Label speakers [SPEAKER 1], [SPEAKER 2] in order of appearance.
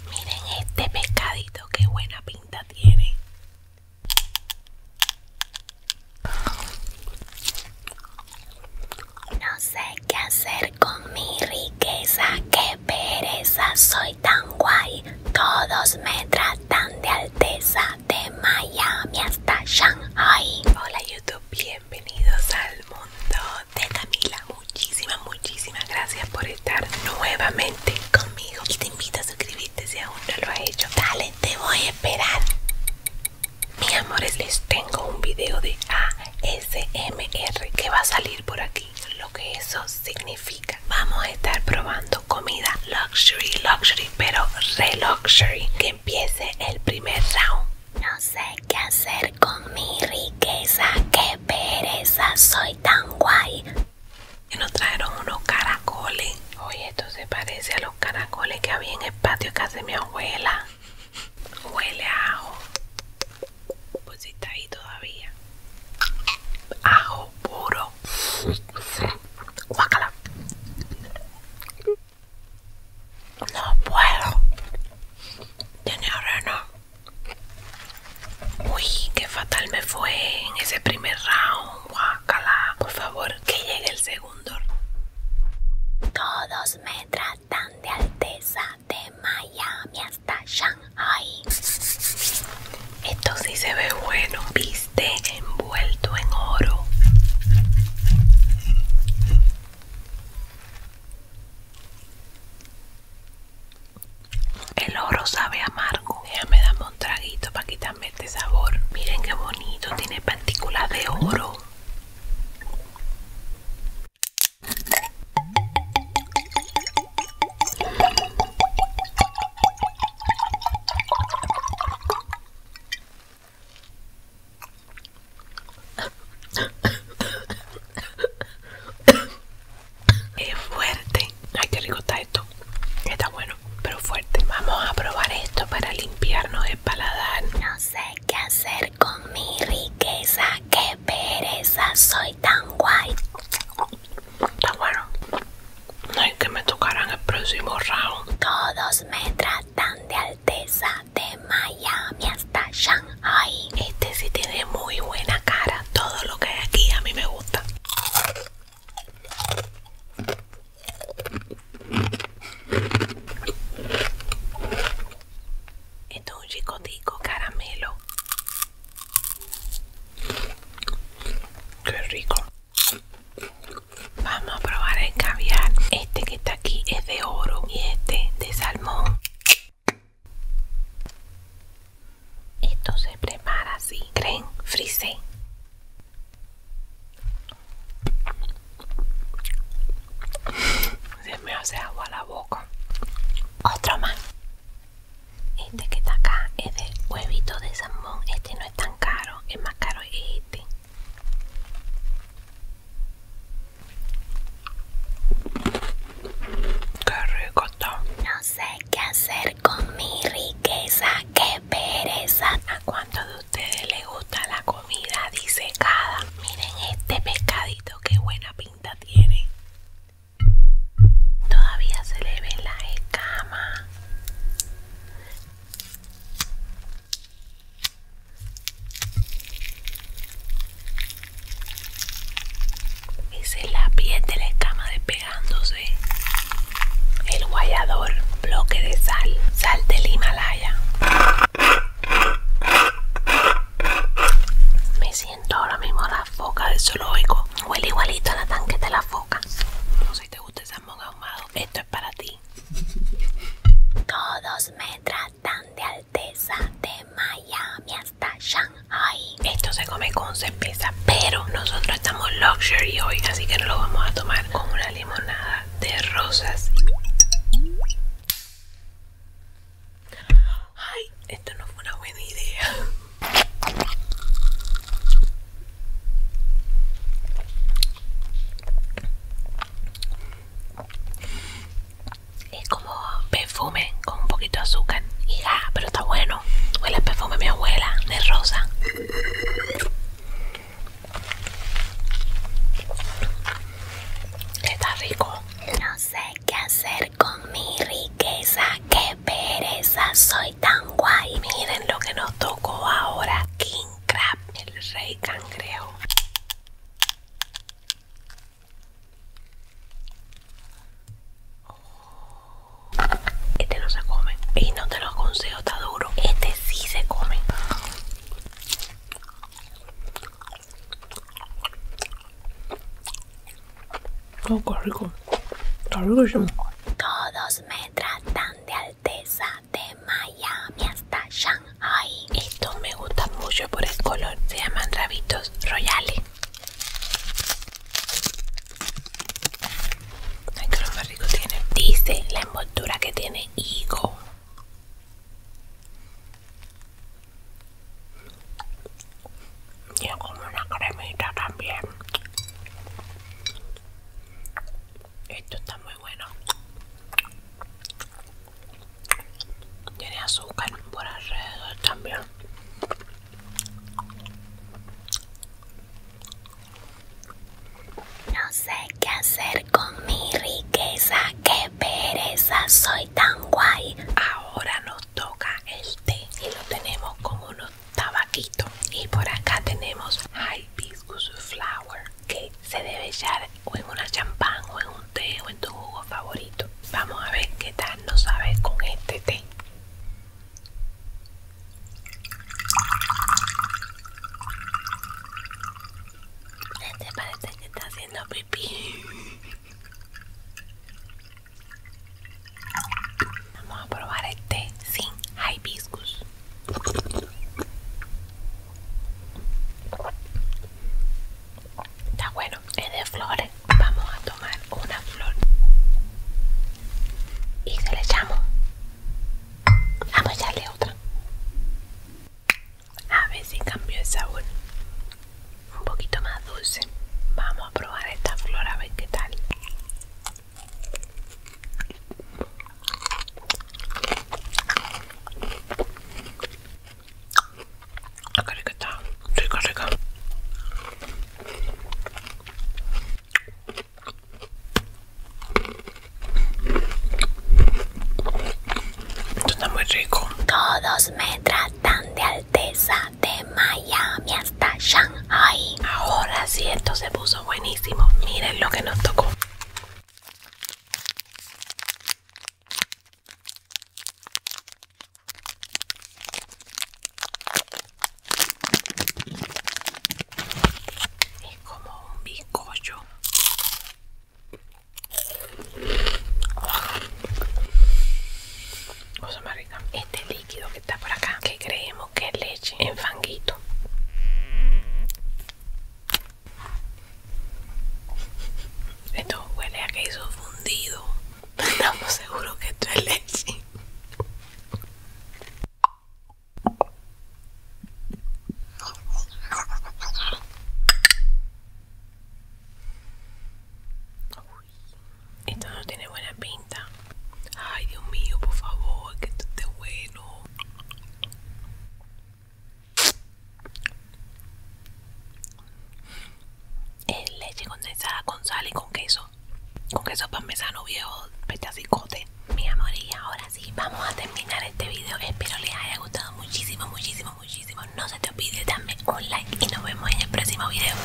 [SPEAKER 1] Miren este pescadito, qué buena pinta tiene. No sé qué hacer con mi riqueza, qué pereza, soy tan guay. Todos me tratan de alteza, de Miami hasta Shanghai. Hola YouTube, bienvenidos al mundo de Camila. Muchísimas, muchísimas gracias por estar nuevamente conmigo. Y te invito a suscribirte si aún no lo ha hecho. Dale, te voy a esperar. Mis amores, les tengo un video de ASMR que va a salir por aquí. Lo que eso significa. Vamos a estar probando comida luxury, luxury, pero re Que empiece el primer round. No sé qué hacer con mi riqueza. ¿Qué pereza, soy tan guay. Y nos trajeron unos caracoles. Oye, esto se parece a los caracoles que había en el patio de casa de mi abuela. Huele a ajo. Pues si está ahí todavía. Ajo puro. Guácala. No puedo. Señora, no. Uy, qué fatal me fue en ese primer round, guacala. Por favor, que llegue el segundo. Todos me tratan de Alteza de Miami hasta Shanghai. Esto sí se ve bueno, viste, envuelto en oro. El oro sabe amargo. Ya me damos un traguito para quitarme este sabor. Miren qué bonito, tiene partículas de oro. Es fuerte. Ay, que rico está esto. Está bueno, pero fuerte. Vamos a probar esto para limpiarnos el paladar. No sé qué hacer con mi riqueza. Qué pereza. Soy tan guay. Está bueno. Hay que me tocarán el próximo round. Todos me tratan de alteza. De Miami hasta Shanghai. Ay, este sí tiene muy buena cara. Todo lo que hay aquí a mí me gusta. Esto es un chicotico caramelo. Qué rico. Vamos a probar el caviar. Este que está aquí es de oro y este de salmón. Esto se prepara así, creen, frisé. Se me hace agua la boca. Otro más. Este que está acá es de huevito de salmón. Este no es tan caro, es más caro este. Qué rico está. No sé qué hacer con mi riqueza, qué pereza. ¿A cuánto de ustedes les gusta la comida disecada? Miren este pescadito, qué buena pinta tiene. Todavía se le ven las escamas es la piel de la escama despegándose. El guayador, bloque de sal, sal del Himalaya. Me siento ahora mismo la foca del zoológico. Huele igualito a la tanque de la foca. No sé si te gusta el salmón ahumado. Esto es para ti. Todos me tratan de de Miami hasta Shanghai. Esto se come con cerveza, pero nosotros estamos luxury hoy, así que lo vamos a tomar con una limonada de rosas. Ay, esto no fue una buena idea. Es como perfume con un poquito de azúcar. Y ya, pero está bueno. Huele perfume de mi abuela, de rosa. Está rico. No sé qué hacer con mi riqueza. Qué pereza, soy tan guay. Miren lo que nos tocó ahora. King Crab, el rey cangrejo. Este no se come y no te lo aconsejo, está duro. Este sí se come. Oh, qué rico. Todos me tratan de Alteza de Miami hasta allá. Ay, esto me gusta mucho por el color. Se llaman rabitos royales. Ay, que más rico tiene. Dice la envoltura que tiene higo. Tiene como una cremita también. Esto está muy bueno tiene azúcar por alrededor también no sé qué hacer con mi riqueza qué pereza soy tan guay ahora nos toca el té y lo tenemos con unos tabaquitos y por acá tenemos hibiscus flower cake se debe echar o en una champán o en un té o en tu jugo favorito. Vamos a ver qué tal nos sabe con este té. Este parece que está haciendo pipí. Vamos a probar el té sin hibiscus. Está bueno, es de flores. Vamos a tomar una flor y se le echamos. Vamos a echarle otra. A ver si cambió el sabor. Un poquito más dulce. Vamos a probar esta flor a ver qué tal. Acá le rica, rica. Esto está muy rico. Todos me tratan de Alteza de Miami hasta Shanghai. Ahora sí, esto se puso buenísimo. Miren lo que nos tocó. Es como un bizcocho. Cosa más Este líquido que está por acá, que creemos que es leche en fanguito. Esto huele a queso fundido. Estamos seguros que esto es leche. esto no tiene buena pinta. Ay, Dios mío, por favor, que esto esté bueno. Es leche condensada con sal y con queso. Con queso parmesano viejo, cote Mi amor, y ahora sí, vamos a terminar este video. Espero les haya gustado muchísimo, muchísimo, muchísimo. No se te olvide darme un like y nos vemos en el próximo video.